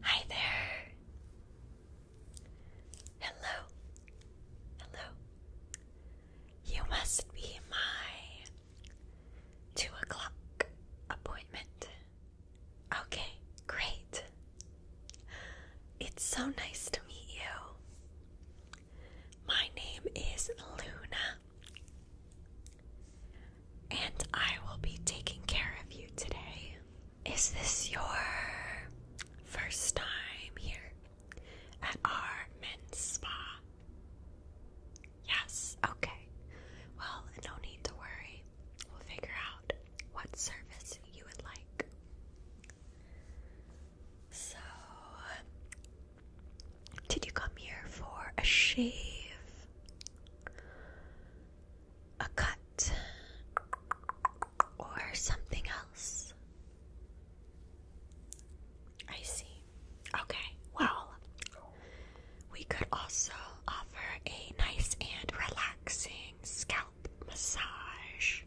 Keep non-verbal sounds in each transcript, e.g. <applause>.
Hi there. Hello. Hello. You must be my two o'clock appointment. Okay, great. It's so nice to meet you. My name is Luna and I will be taking care of you today. Is this your first time here at our men's spa? Yes, okay. Well, no need to worry. We'll figure out what service you would like. So, did you come here for a shave? a cut or something else. I see. Okay, well, we could also offer a nice and relaxing scalp massage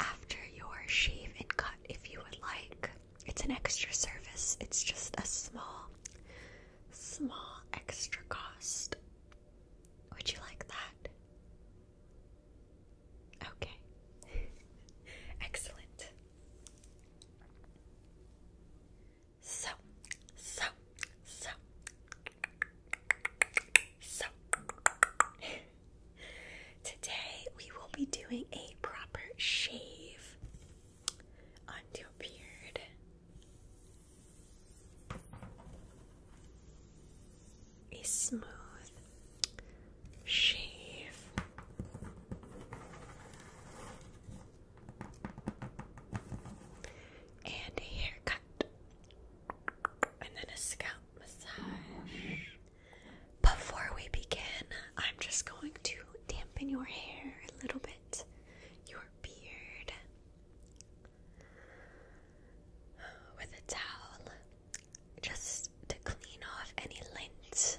after your shave and cut if you would like. It's an extra service, it's just a small small extra cost. Would you like that? Okay. <laughs> Excellent. So, so, so, so. <laughs> Today we will be doing a proper shave onto your beard a smooth shave. And a haircut. And then a scalp massage. Before we begin, I'm just going to dampen your hair a little bit, your beard, with a towel just to clean off any lint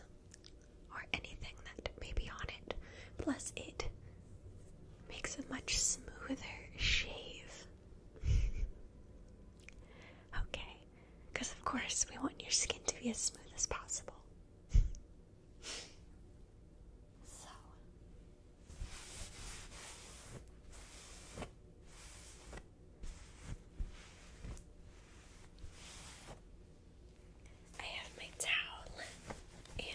or anything that may be on it. Plus, it makes a much smoother shave. <laughs> okay, because of course we want your skin to be as smooth as possible. <laughs> I have my towel and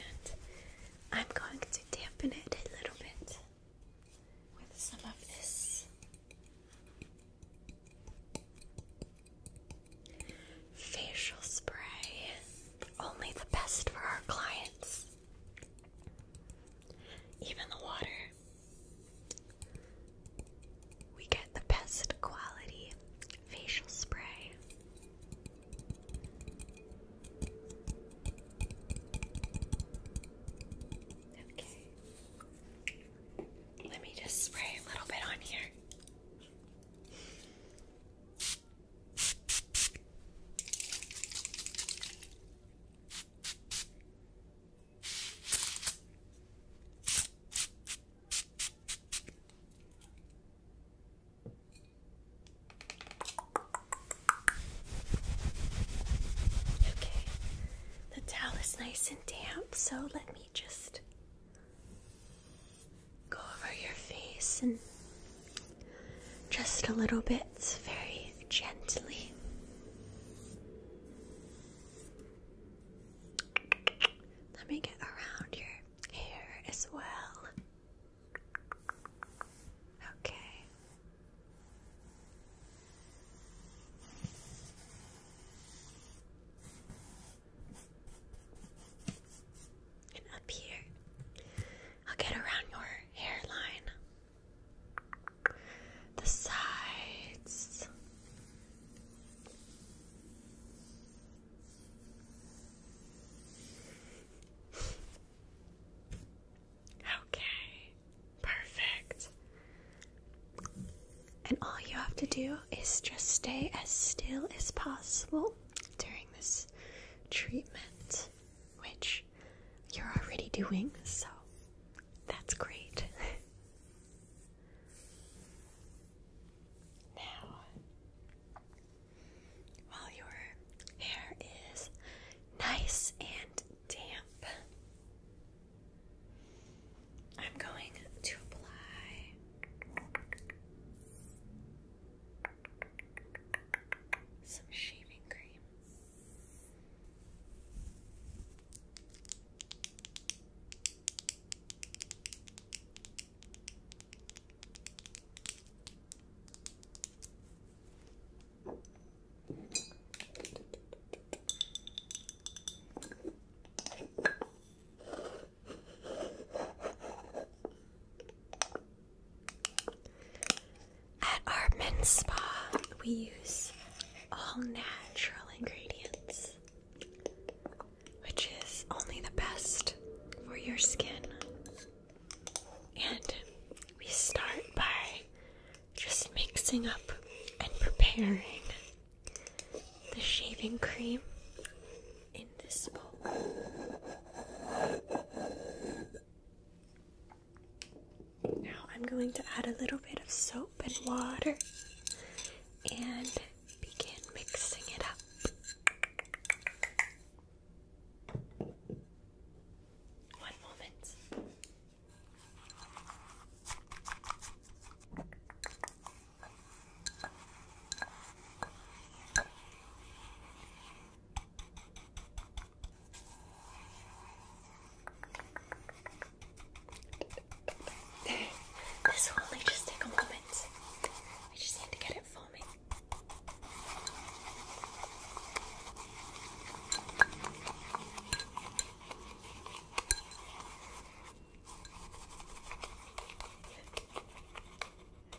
I'm going to dampen it a little bit with some of this facial spray only the best for our clients. Even the water. We get the best quality facial spray. Okay. Let me just spray a little bit on here. Okay, the towel is nice and damp, so let me just go over your face and just a little bit, very gently. Let me get around your hair as well. Okay and up here. I'll get around your hairline, the sides. Okay, perfect. And all you have to do is just stay as still as possible during this treatment which you're already doing, so that's great. <laughs> now, while your hair is nice and damp, I'm going to apply some shaving cream. At our men's spa, we use all natural ingredients, which is only the best for your skin. And we start by just mixing up and preparing the shaving cream in this spot. Now I'm going to add a little bit of soap and water and begin mixing it up. One moment this will only just take a moment. I just need to get it foaming.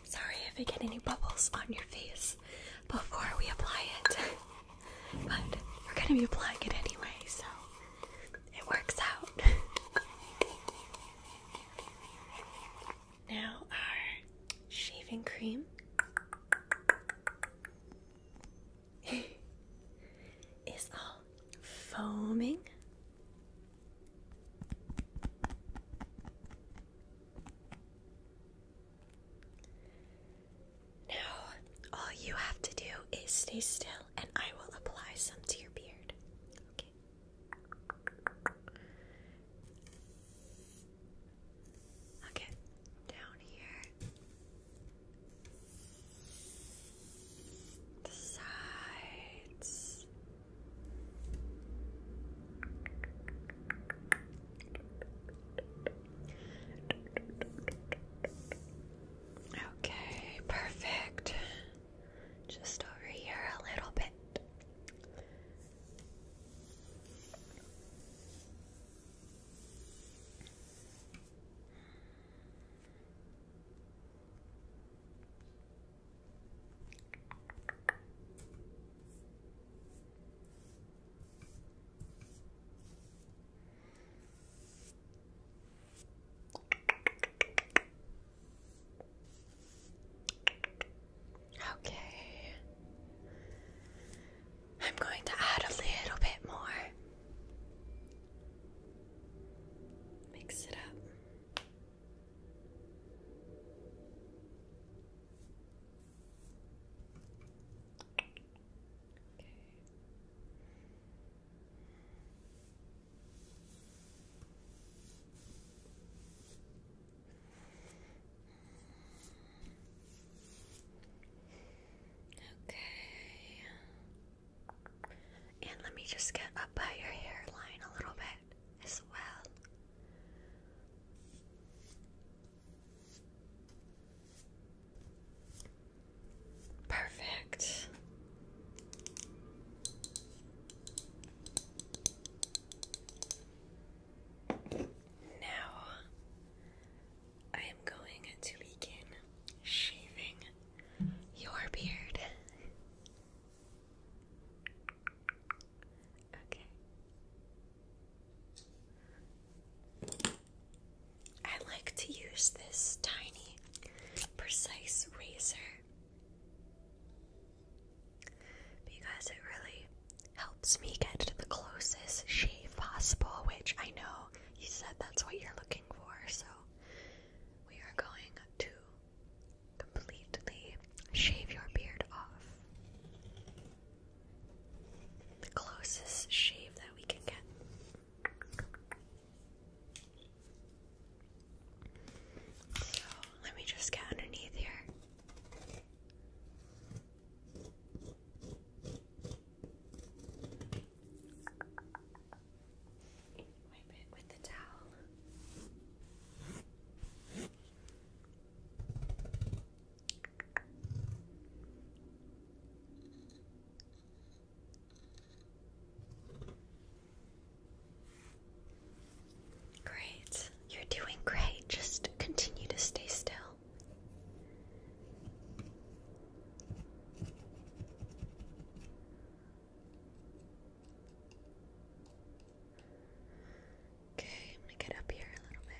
Sorry if I get any bubbles on your face before we apply it, but we're going to be applying it anyway, so it works out. now, our shaving cream. <laughs> is all foaming now, all you have to do is stay still and I will apply some to your beard. Okay. down here. The sides. Okay, perfect. Just over here a little bit. Okay. I'm going to add a little bit more. Mix it up. Okay. Okay. And let me just get up by your hairline a little bit as well. Perfect. Now I am going to begin shaving your beard. Okay. I like to use this tiny, precise razor because it really helps me get to the closest shave possible, which I know you said that's what you're looking for, so we are going to completely shave your beard off. The closest shave that we can get. So let me just get underneath here. Wipe it with the towel. Great. You're doing great. Just continue to stay still. Okay, I'm gonna get up here a little bit.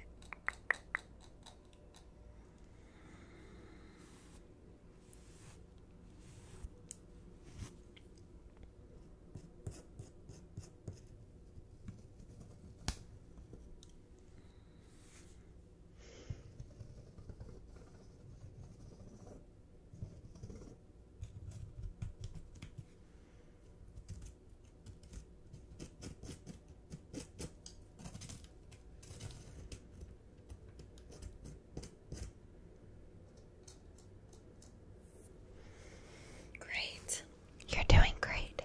Great. You're doing great.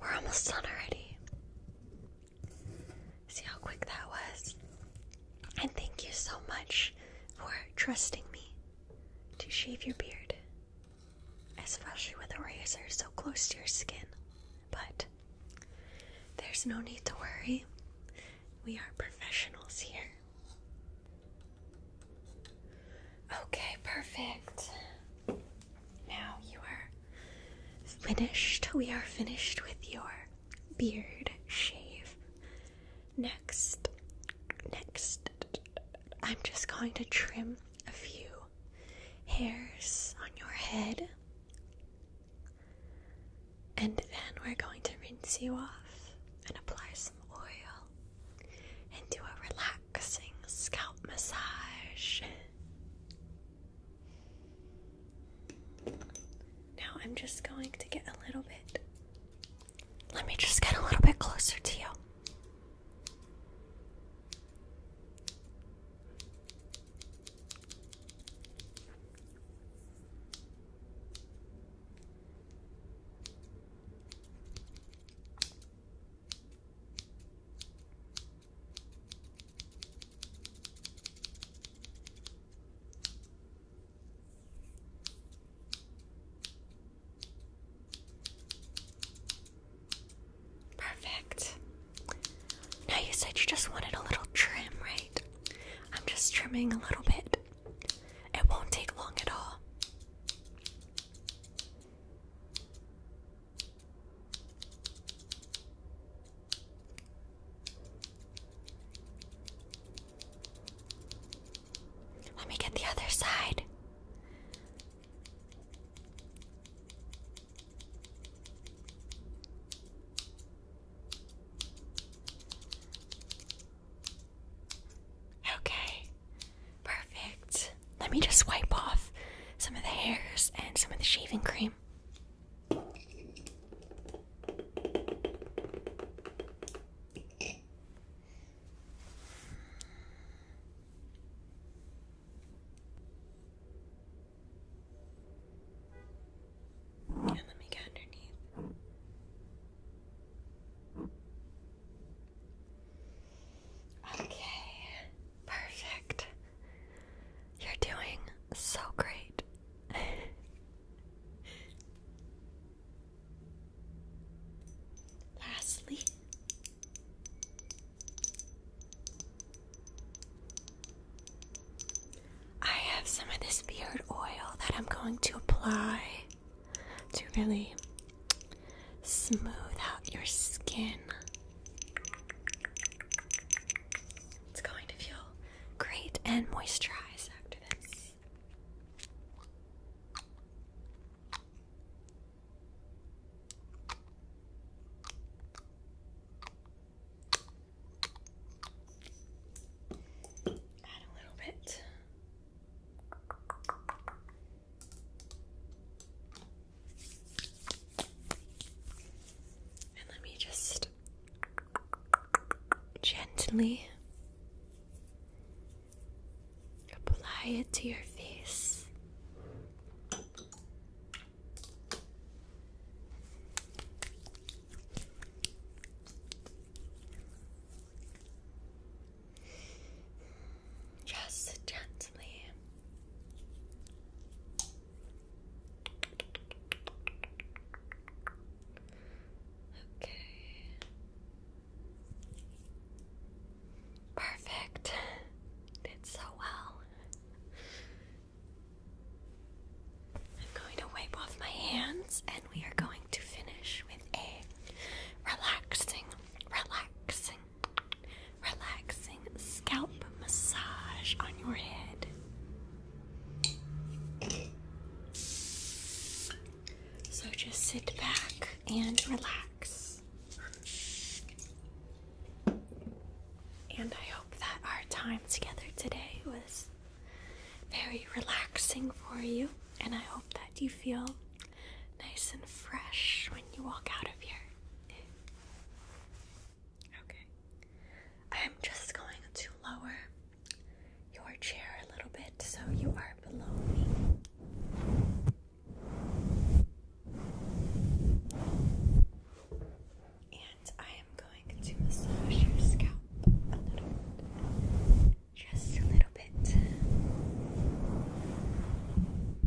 We're almost done already. See how quick that was? And thank you so much for trusting me to shave your beard, especially with the razor so close to your skin. But there's no need to worry, we are professionals here. Okay, perfect. Now you are finished. We are finished with your beard shave. Next, next, I'm just going to trim a few hairs on your head. And then we're going to rinse you off and apply some oil and do a relaxing scalp massage. Now I'm just going to get a little bit. Let me just get a little bit closer to you. Perfect. Now you said you just wanted a little trim, right? I'm just trimming a little bit. It won't take long at all. Let me get the other side. Okay. Perfect. Let me just wipe off some of the hairs and some of the shaving cream. And let me get underneath. Okay, perfect. You're doing so great. <laughs> Lastly, I have some of this beard oil that I'm going to apply to really smooth out your skin. It's going to feel great and moisturize after this. Add a little bit. And let me just gently apply it to your face. Just gently. Okay. Perfect. Did so well. I'm going to wipe off my hands and we are going to finish with a relaxing, relaxing, relaxing scalp massage on your head. So just sit back and relax. And I hope that our time together today was very relaxing for you, and I hope that you feel nice and fresh when you walk out of here. Okay. I'm just going to lower your chair a little bit so you are below me. And I am going to massage your scalp a little Just a little bit.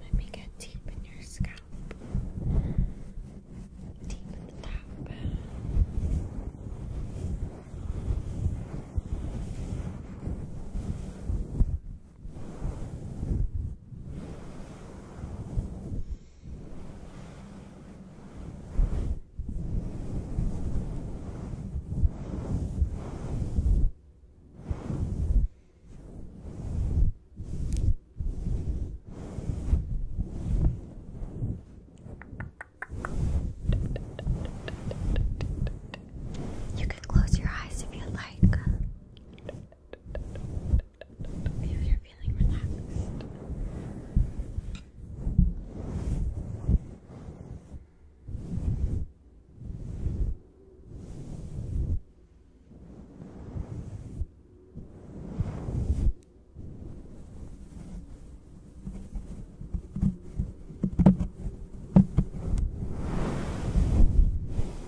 Let me get deep in your scalp, deep in the top. Good. You can close your eyes if you like. If you're feeling relaxed. Good.